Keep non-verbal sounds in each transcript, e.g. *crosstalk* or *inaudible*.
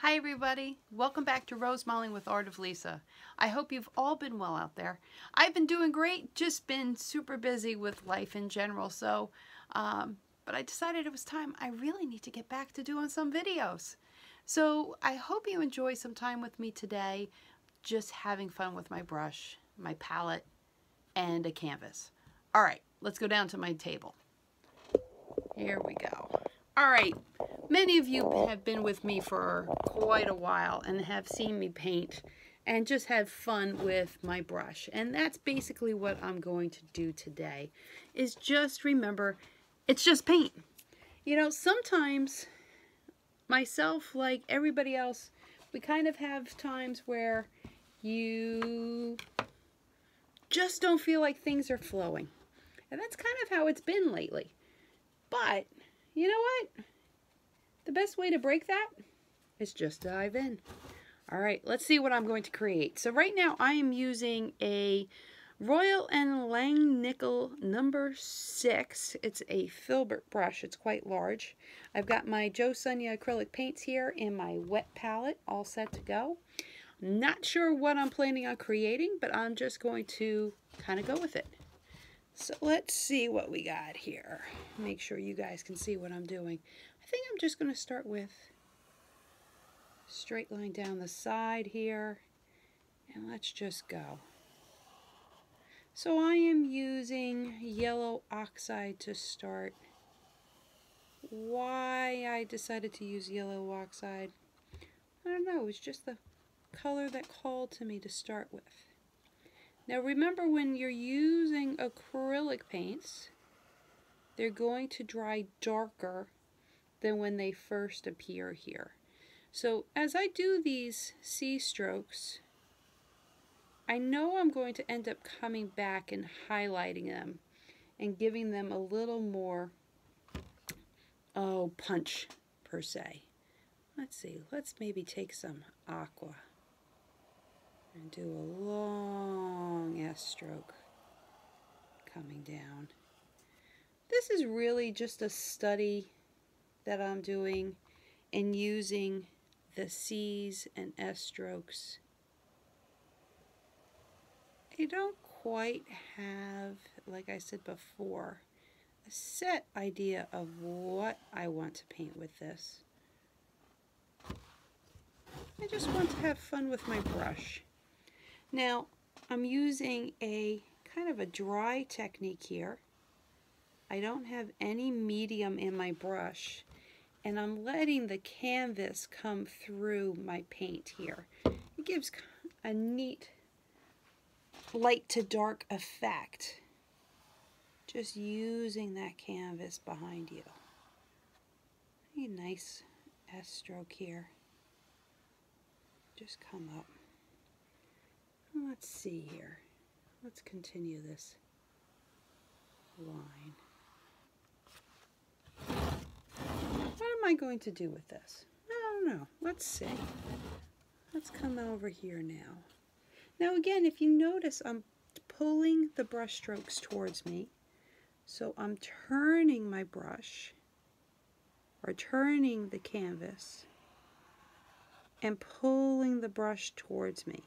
Hi everybody, welcome back to Rose Modeling with Art of Lisa. I hope you've all been well out there. I've been doing great, just been super busy with life in general, so, um, but I decided it was time I really need to get back to doing some videos. So I hope you enjoy some time with me today, just having fun with my brush, my palette, and a canvas. All right, let's go down to my table. Here we go. All right, many of you have been with me for quite a while and have seen me paint and just have fun with my brush. And that's basically what I'm going to do today, is just remember, it's just paint. You know, sometimes myself, like everybody else, we kind of have times where you just don't feel like things are flowing. And that's kind of how it's been lately. But you know what? The best way to break that is just dive in. All right, let's see what I'm going to create. So right now I am using a Royal and Lang Nickel number six. It's a filbert brush. It's quite large. I've got my Joe Sonia acrylic paints here in my wet palette all set to go. Not sure what I'm planning on creating, but I'm just going to kind of go with it. So let's see what we got here. Make sure you guys can see what I'm doing. I think I'm just going to start with straight line down the side here. And let's just go. So I am using yellow oxide to start. Why I decided to use yellow oxide, I don't know, it was just the color that called to me to start with. Now remember when you're using acrylic paints, they're going to dry darker than when they first appear here. So as I do these C strokes, I know I'm going to end up coming back and highlighting them and giving them a little more oh, punch per se. Let's see, let's maybe take some aqua and do a long S stroke coming down. This is really just a study that I'm doing and using the C's and S strokes I don't quite have, like I said before, a set idea of what I want to paint with this. I just want to have fun with my brush. Now, I'm using a kind of a dry technique here. I don't have any medium in my brush, and I'm letting the canvas come through my paint here. It gives a neat light to dark effect. Just using that canvas behind you. A nice S stroke here. Just come up. Let's see here. Let's continue this line. What am I going to do with this? I don't know. Let's see. Let's come over here now. Now again, if you notice, I'm pulling the brush strokes towards me. So I'm turning my brush or turning the canvas and pulling the brush towards me.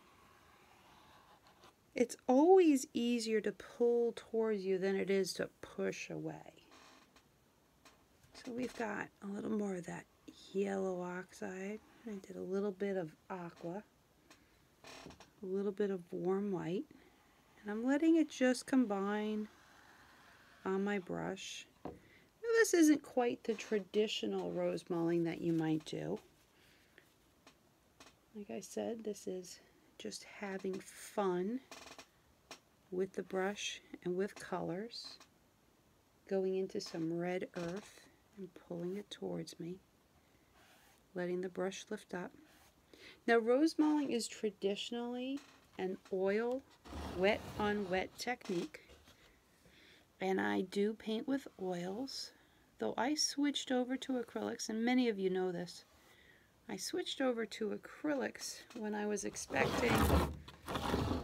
It's always easier to pull towards you than it is to push away. So we've got a little more of that yellow oxide. I did a little bit of aqua, a little bit of warm white, and I'm letting it just combine on my brush. Now this isn't quite the traditional rose mulling that you might do. Like I said, this is just having fun with the brush and with colors, going into some red earth and pulling it towards me, letting the brush lift up. Now rose mulling is traditionally an oil wet on wet technique and I do paint with oils though I switched over to acrylics and many of you know this I switched over to acrylics when I was expecting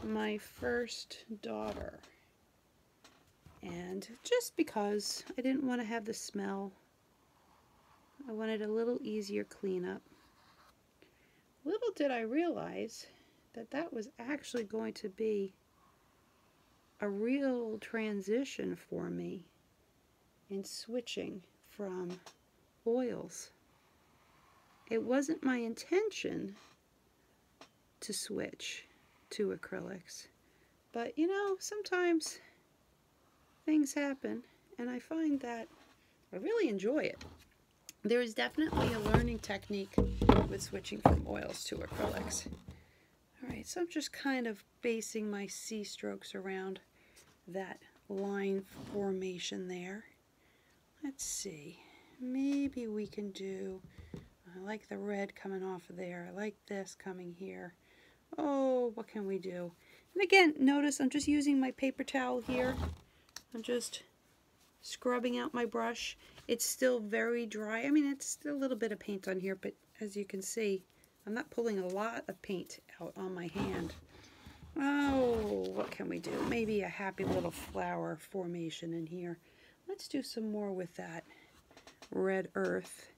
my first daughter. And just because I didn't want to have the smell, I wanted a little easier cleanup. Little did I realize that that was actually going to be a real transition for me and switching from oils. It wasn't my intention to switch to acrylics, but you know, sometimes things happen and I find that I really enjoy it. There is definitely a learning technique with switching from oils to acrylics. All right, so I'm just kind of of basing my C strokes around that line formation there. Let's see, maybe we can do, I like the red coming off there, I like this coming here. Oh, what can we do? And again, notice I'm just using my paper towel here. I'm just scrubbing out my brush. It's still very dry. I mean, it's a little bit of paint on here, but as you can see, I'm not pulling a lot of paint out on my hand. Oh, what can we do? Maybe a happy little flower formation in here. Let's do some more with that red earth.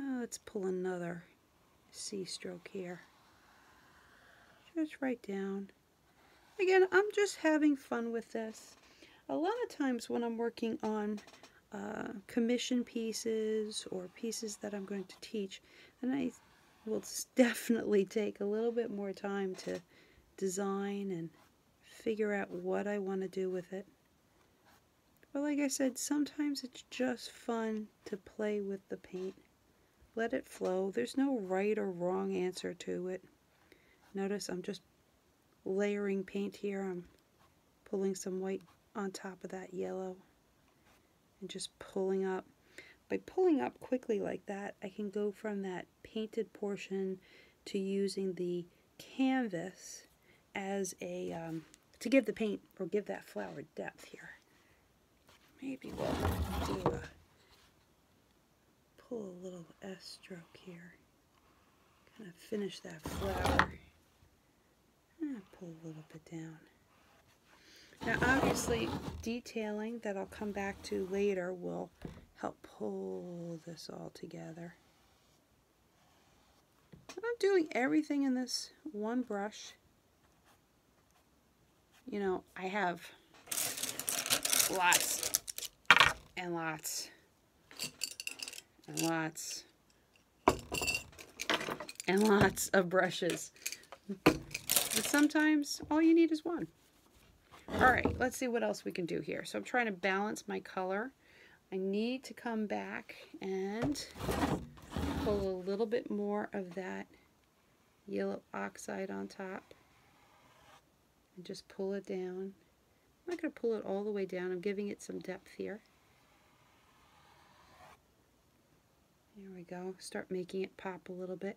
Uh, let's pull another C stroke here. Just right down. Again, I'm just having fun with this. A lot of times when I'm working on uh, commission pieces or pieces that I'm going to teach, then I will *laughs* definitely take a little bit more time to design and figure out what I want to do with it. But like I said, sometimes it's just fun to play with the paint. Let it flow. There's no right or wrong answer to it. Notice I'm just layering paint here pulling some white on top of that yellow and just pulling up. By pulling up quickly like that, I can go from that painted portion to using the canvas as a, um, to give the paint or give that flower depth here. Maybe we'll do a, pull a little S stroke here. Kind of finish that flower pull a little bit down. Now obviously detailing that I'll come back to later will help pull this all together. I'm doing everything in this one brush. You know, I have lots and lots and lots and lots of brushes. But sometimes all you need is one. All right, let's see what else we can do here. So I'm trying to balance my color. I need to come back and pull a little bit more of that yellow oxide on top and just pull it down. I'm not going to pull it all the way down. I'm giving it some depth here. There we go. Start making it pop a little bit.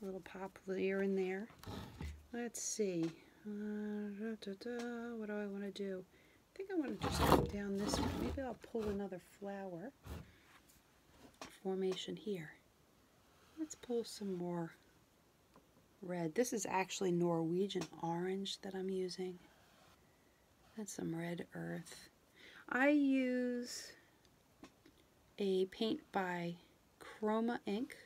A little pop here and there. Let's see. Uh, what do I want to do? I think I want to just come down this way. Maybe I'll pull another flower formation here. Let's pull some more red. This is actually Norwegian orange that I'm using. That's some red earth. I use a paint by Chroma Ink.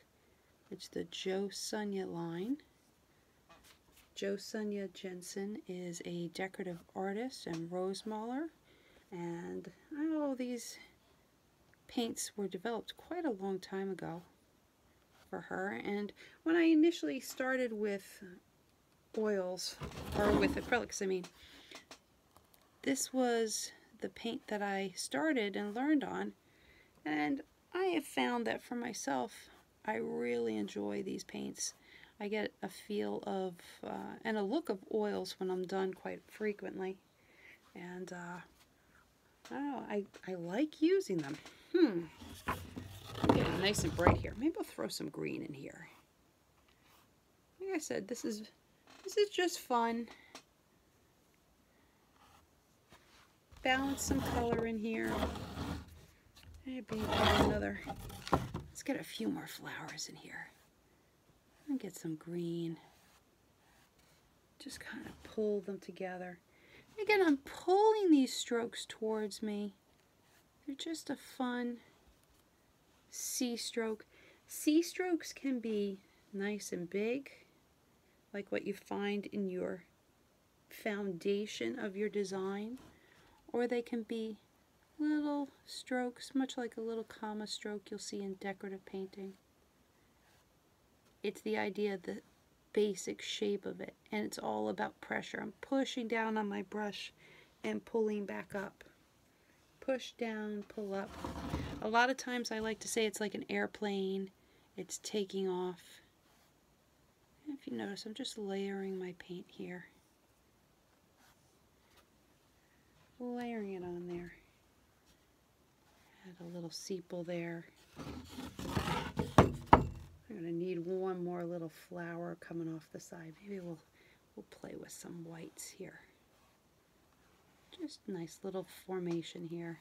It's the Joe Sonia line. Joe Sonia Jensen is a decorative artist and rose mauler. And all oh, these paints were developed quite a long time ago for her. And when I initially started with oils, or with acrylics, I mean, this was the paint that I started and learned on. And I have found that for myself, I really enjoy these paints. I get a feel of, uh, and a look of oils when I'm done quite frequently. And uh, Oh, I, I like using them. Hmm. nice and bright here. Maybe I'll throw some green in here. Like I said, this is this is just fun. Balance some color in here. Maybe another. Let's get a few more flowers in here. And get some green. Just kind of pull them together. Again, I'm pulling these strokes towards me. They're just a fun C stroke. C strokes can be nice and big, like what you find in your foundation of your design, or they can be little strokes, much like a little comma stroke you'll see in decorative painting. It's the idea, the basic shape of it. And it's all about pressure. I'm pushing down on my brush and pulling back up. Push down, pull up. A lot of times I like to say it's like an airplane. It's taking off. If you notice, I'm just layering my paint here. Layering it on there. Add a little sepal there. I'm going to need one more little flower coming off the side. Maybe we'll, we'll play with some whites here. Just nice little formation here.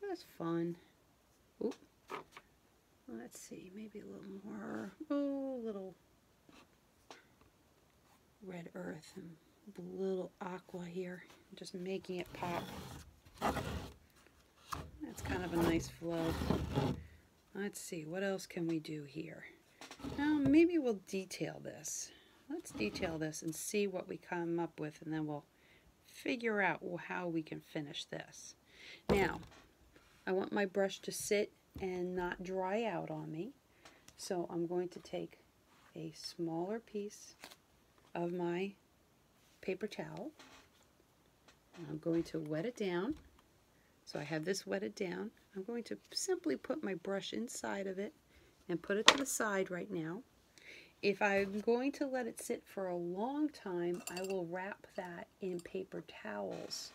Just fun. Let's see, maybe a little more, oh, little red earth little aqua here, just making it pop. That's kind of a nice flow. Let's see, what else can we do here? Now, maybe we'll detail this. Let's detail this and see what we come up with, and then we'll figure out how we can finish this. Now, I want my brush to sit and not dry out on me, so I'm going to take a smaller piece of my paper towel. I'm going to wet it down. So I have this wetted down. I'm going to simply put my brush inside of it and put it to the side right now. If I'm going to let it sit for a long time, I will wrap that in paper towels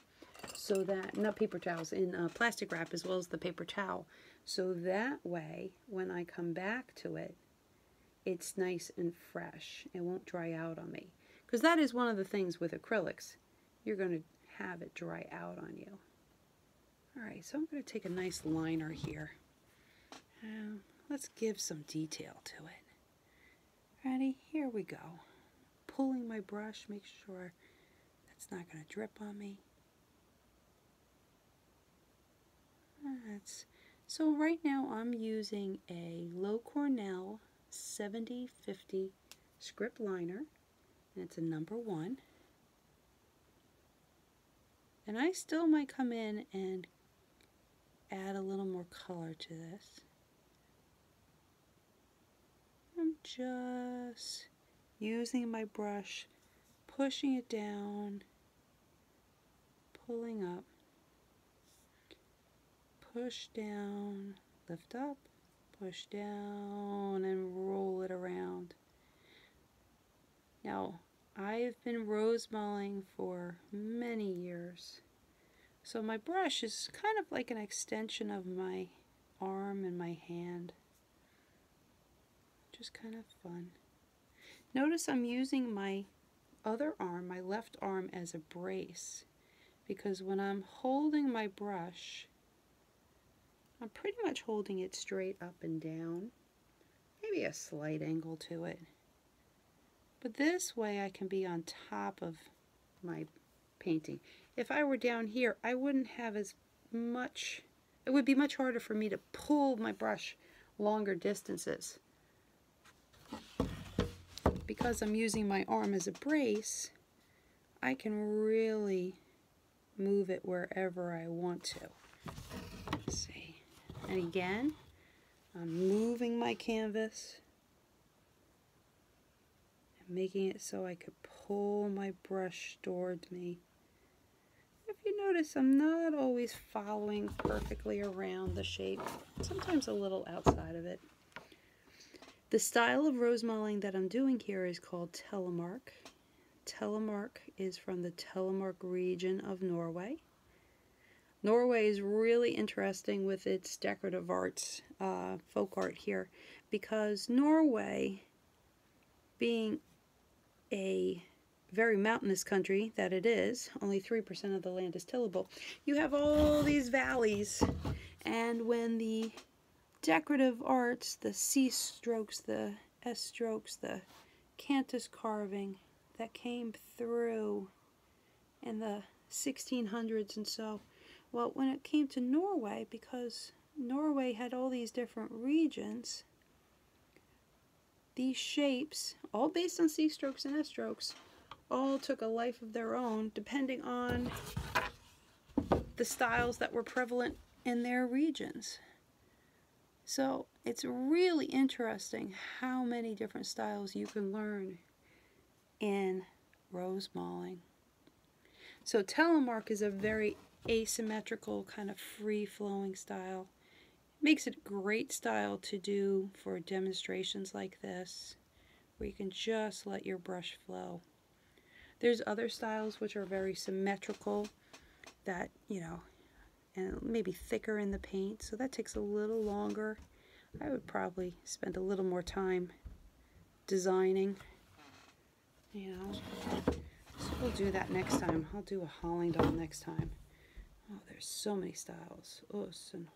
so that, not paper towels, in plastic wrap as well as the paper towel. So that way, when I come back to it, it's nice and fresh. It won't dry out on me. Because that is one of the things with acrylics. You're going to have it dry out on you. All right, so I'm going to take a nice liner here. Um, let's give some detail to it. Ready? Here we go. Pulling my brush, make sure that's not going to drip on me so right now I'm using a Low Cornell 7050 script liner, and it's a number one. And I still might come in and add a little more color to this. I'm just using my brush, pushing it down, pulling up, push down, lift up, push down, and roll it around. Now, I've been rose mulling for many years, so my brush is kind of like an extension of my arm and my hand. Just kind of fun. Notice I'm using my other arm, my left arm, as a brace because when I'm holding my brush, I'm pretty much holding it straight up and down, maybe a slight angle to it. But this way I can be on top of my painting. If I were down here, I wouldn't have as much it would be much harder for me to pull my brush longer distances. Because I'm using my arm as a brace, I can really move it wherever I want to. see. And again, I'm moving my canvas and making it so I could pull my brush toward me if you notice, I'm not always following perfectly around the shape, sometimes a little outside of it. The style of rose mulling that I'm doing here is called telemark. Telemark is from the Telemark region of Norway. Norway is really interesting with its decorative arts, uh, folk art here, because Norway being a very mountainous country that it is, only 3% of the land is tillable, you have all these valleys. And when the decorative arts, the C strokes, the S strokes, the cantus carving that came through in the 1600s and so, well, when it came to Norway, because Norway had all these different regions, these shapes, all based on C-strokes and S-strokes, all took a life of their own depending on the styles that were prevalent in their regions. So it's really interesting how many different styles you can learn in rose mauling. So telemark is a very asymmetrical kind of free-flowing style. It makes it great style to do for demonstrations like this where you can just let your brush flow. There's other styles which are very symmetrical that, you know, and maybe thicker in the paint, so that takes a little longer. I would probably spend a little more time designing, you know we'll do that next time. I'll do a hauling doll next time. Oh, there's so many styles. Us and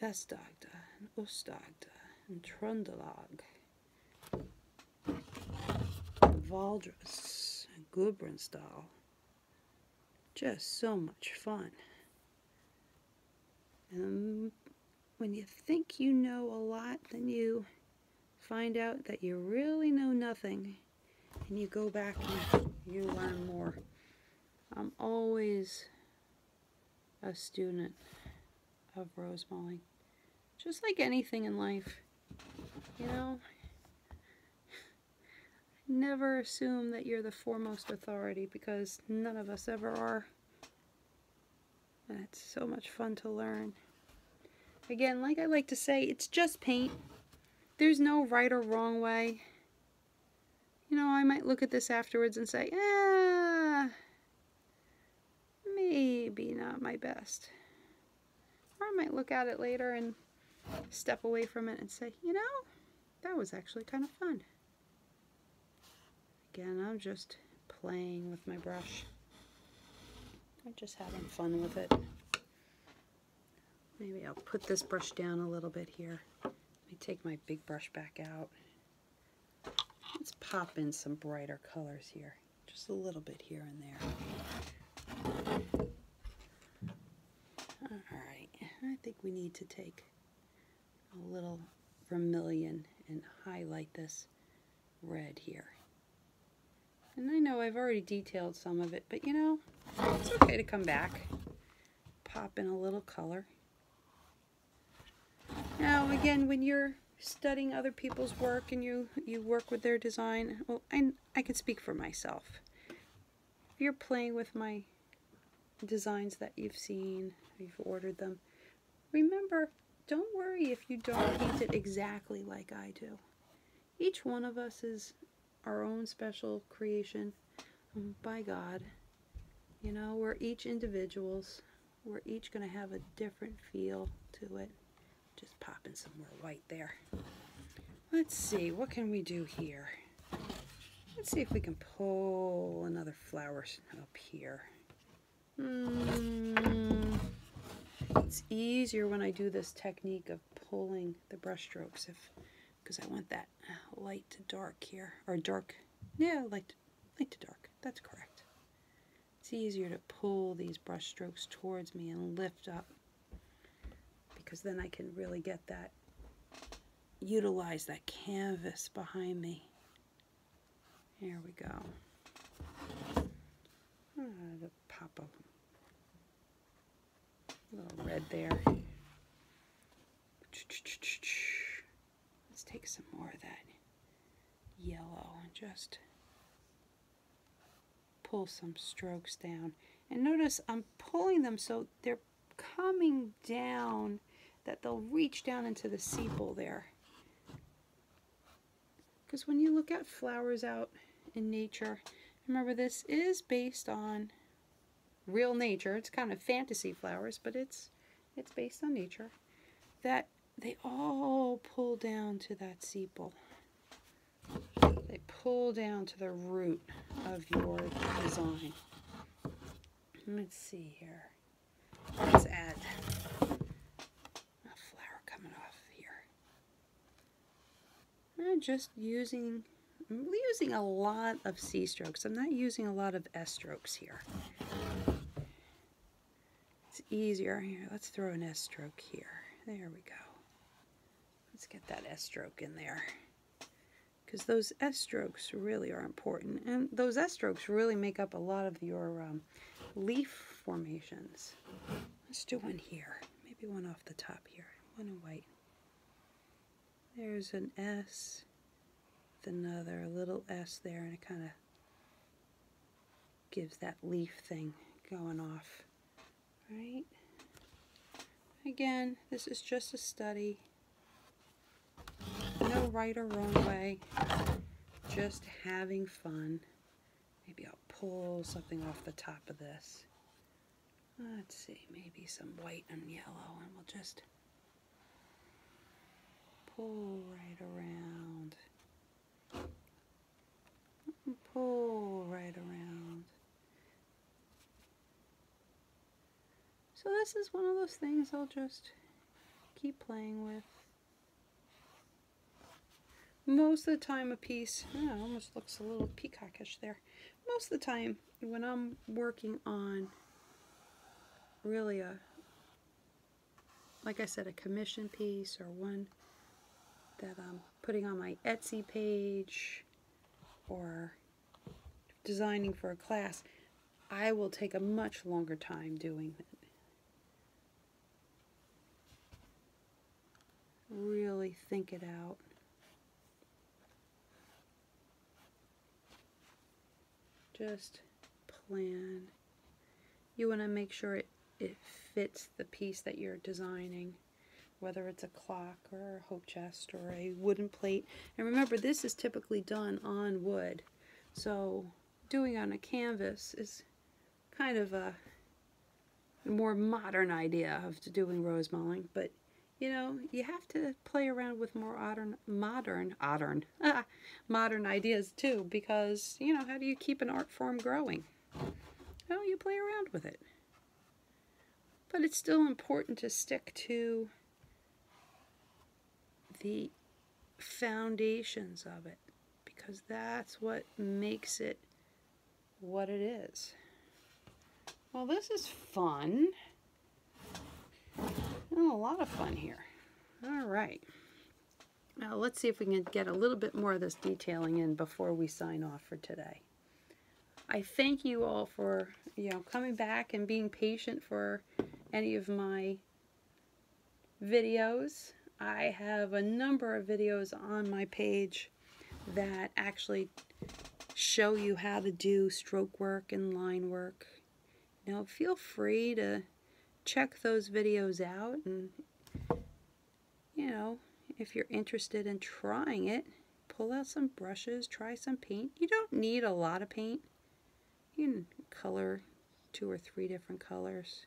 Vestagda and Ustagda and Trundelag, Valdrus, and Gudbrandsdal. Just so much fun. And um, when you think you know a lot, then you find out that you really know nothing and you go back and you learn more. I'm always a student of rose mulling. Just like anything in life, you know, *laughs* never assume that you're the foremost authority because none of us ever are. And it's so much fun to learn. Again, like I like to say, it's just paint. There's no right or wrong way. You know, I might look at this afterwards and say, ah, maybe not my best. Or I might look at it later and step away from it and say, you know, that was actually kind of fun. Again, I'm just playing with my brush. I'm just having fun with it. Maybe I'll put this brush down a little bit here. Let me take my big brush back out. Let's pop in some brighter colors here. Just a little bit here and there. Alright, I think we need to take a little vermilion and highlight this red here. And I know I've already detailed some of it, but you know, it's okay to come back. Pop in a little color. Now, again, when you're studying other people's work and you, you work with their design, well, I, I can speak for myself. If you're playing with my designs that you've seen, you've ordered them, remember don't worry if you don't paint it exactly like I do. Each one of us is our own special creation um, by God. You know, we're each individuals. We're each going to have a different feel to it. Just popping some more white there. Let's see, what can we do here? Let's see if we can pull another flower up here. Hmm. it's easier when I do this technique of pulling the brushstrokes if because I want that light to dark here or dark yeah light light to dark that's correct it's easier to pull these brushstrokes towards me and lift up because then I can really get that utilize that canvas behind me here we go. Ah, pop of a little red there. Let's take some more of that yellow and just pull some strokes down. And notice I'm pulling them so they're coming down that they'll reach down into the sepal there. Because when you look at flowers out in nature, remember this is based on real nature. It's kind of fantasy flowers, but it's it's based on nature. That they all pull down to that sepal. They pull down to the root of your design. Let's see here. Let's add a flower coming off here. I'm just using, I'm using a lot of C strokes. I'm not using a lot of S strokes here. It's easier. Here, let's throw an S stroke here. There we go. Let's get that S stroke in there. Because those S strokes really are important. And those S strokes really make up a lot of your um, leaf formations. Let's do one here. Maybe one off the top here. One in white. There's an S with another little S there, and it kind of gives that leaf thing going off. Right? Again, this is just a study. No right or wrong way. Just having fun. Maybe I'll pull something off the top of this. Let's see, maybe some white and yellow, and we'll just pull right around. Pull right around. So this is one of those things I'll just keep playing with. Most of the time a piece, almost looks a little peacockish there. Most of the time when I'm working on really a, like I said, a commission piece or one that I'm putting on my Etsy page or designing for a class, I will take a much longer time doing it Really think it out. Just plan. You want to make sure it, it fits the piece that you're designing whether it's a clock or a hope chest or a wooden plate. And remember, this is typically done on wood. So doing on a canvas is kind of a more modern idea of doing rose mulling, but you know, you have to play around with more modern, modern, modern, *laughs* modern ideas too, because you know, how do you keep an art form growing? Well, you play around with it. But it's still important to stick to the foundations of it because that's what makes it what it is. Well, this is fun. Oh, a lot of fun here. All right. Now let's see if we can get a little bit more of this detailing in before we sign off for today. I thank you all for, you know, coming back and being patient for any of my videos. I have a number of videos on my page that actually show you how to do stroke work and line work. Now feel free to check those videos out and you know if you're interested in trying it pull out some brushes try some paint you don't need a lot of paint you can color two or three different colors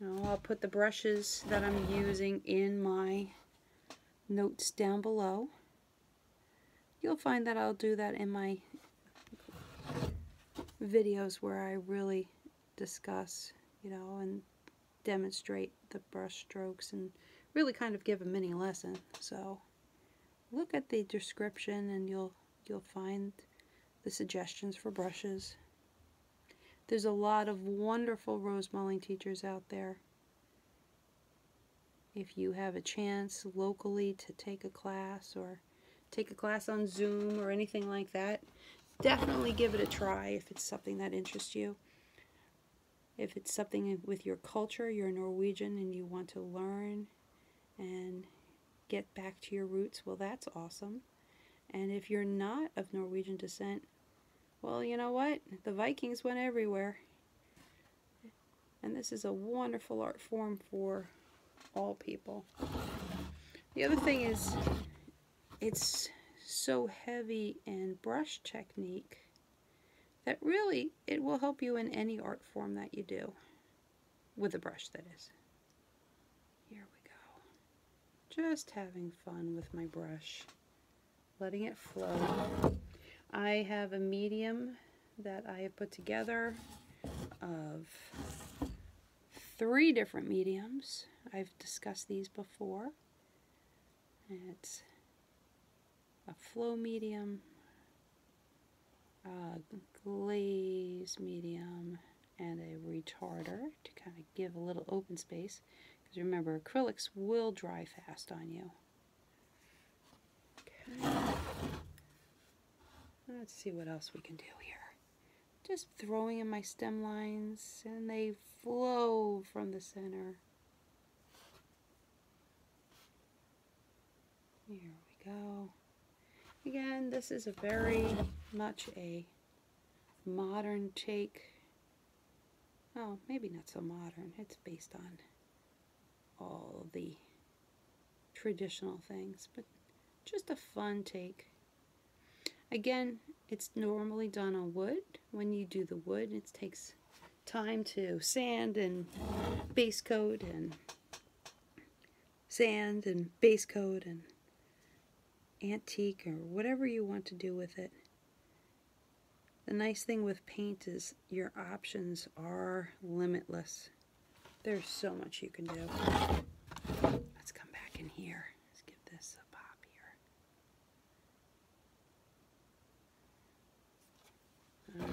now I'll put the brushes that I'm using in my notes down below. You'll find that I'll do that in my videos where I really discuss, you know, and demonstrate the brush strokes and really kind of give a mini lesson. So look at the description and you'll you'll find the suggestions for brushes. There's a lot of wonderful rosemaling teachers out there. If you have a chance locally to take a class or take a class on Zoom or anything like that, definitely give it a try if it's something that interests you. If it's something with your culture, you're Norwegian and you want to learn and get back to your roots, well, that's awesome. And if you're not of Norwegian descent, well, you know what? The Vikings went everywhere. And this is a wonderful art form for all people. The other thing is, it's so heavy and brush technique that really it will help you in any art form that you do. With a brush, that is. Here we go. Just having fun with my brush. Letting it flow. I have a medium that I have put together of three different mediums. I've discussed these before. It's a flow medium, a glaze medium, and a retarder to kind of give a little open space. Because remember, acrylics will dry fast on you. Let's see what else we can do here. Just throwing in my stem lines, and they flow from the center. Here we go. Again, this is a very much a modern take. Oh, maybe not so modern. It's based on all the traditional things, but just a fun take. Again, it's normally done on wood. When you do the wood, it takes time to sand and base coat and sand and base coat and antique or whatever you want to do with it. The nice thing with paint is your options are limitless. There's so much you can do. Let's come back in here. Let's give this a pop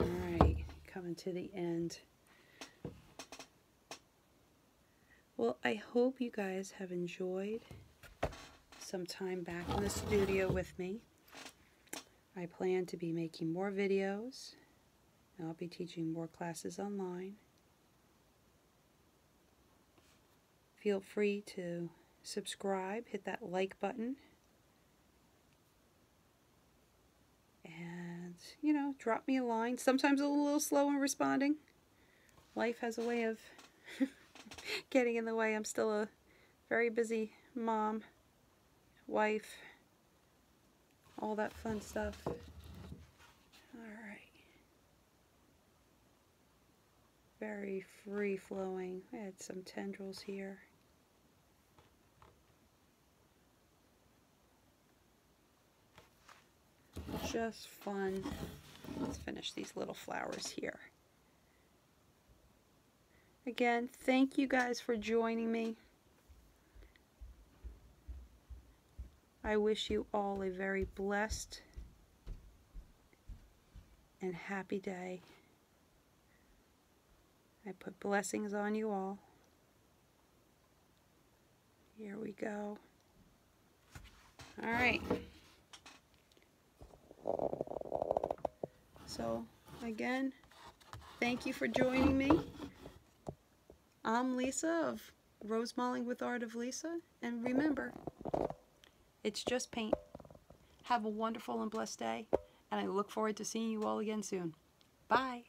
here. All right, coming to the end. Well, I hope you guys have enjoyed some time back in the studio with me. I plan to be making more videos. I'll be teaching more classes online. Feel free to subscribe, hit that like button, and, you know, drop me a line. Sometimes a little slow in responding. Life has a way of *laughs* getting in the way. I'm still a very busy mom, wife, all that fun stuff. All right. Very free flowing. I had some tendrils here. Just fun. Let's finish these little flowers here. Again, thank you guys for joining me. I wish you all a very blessed and happy day. I put blessings on you all. Here we go. All right. So, again, thank you for joining me. I'm Lisa of Rose Modeling with Art of Lisa, and remember, it's just paint. Have a wonderful and blessed day, and I look forward to seeing you all again soon. Bye!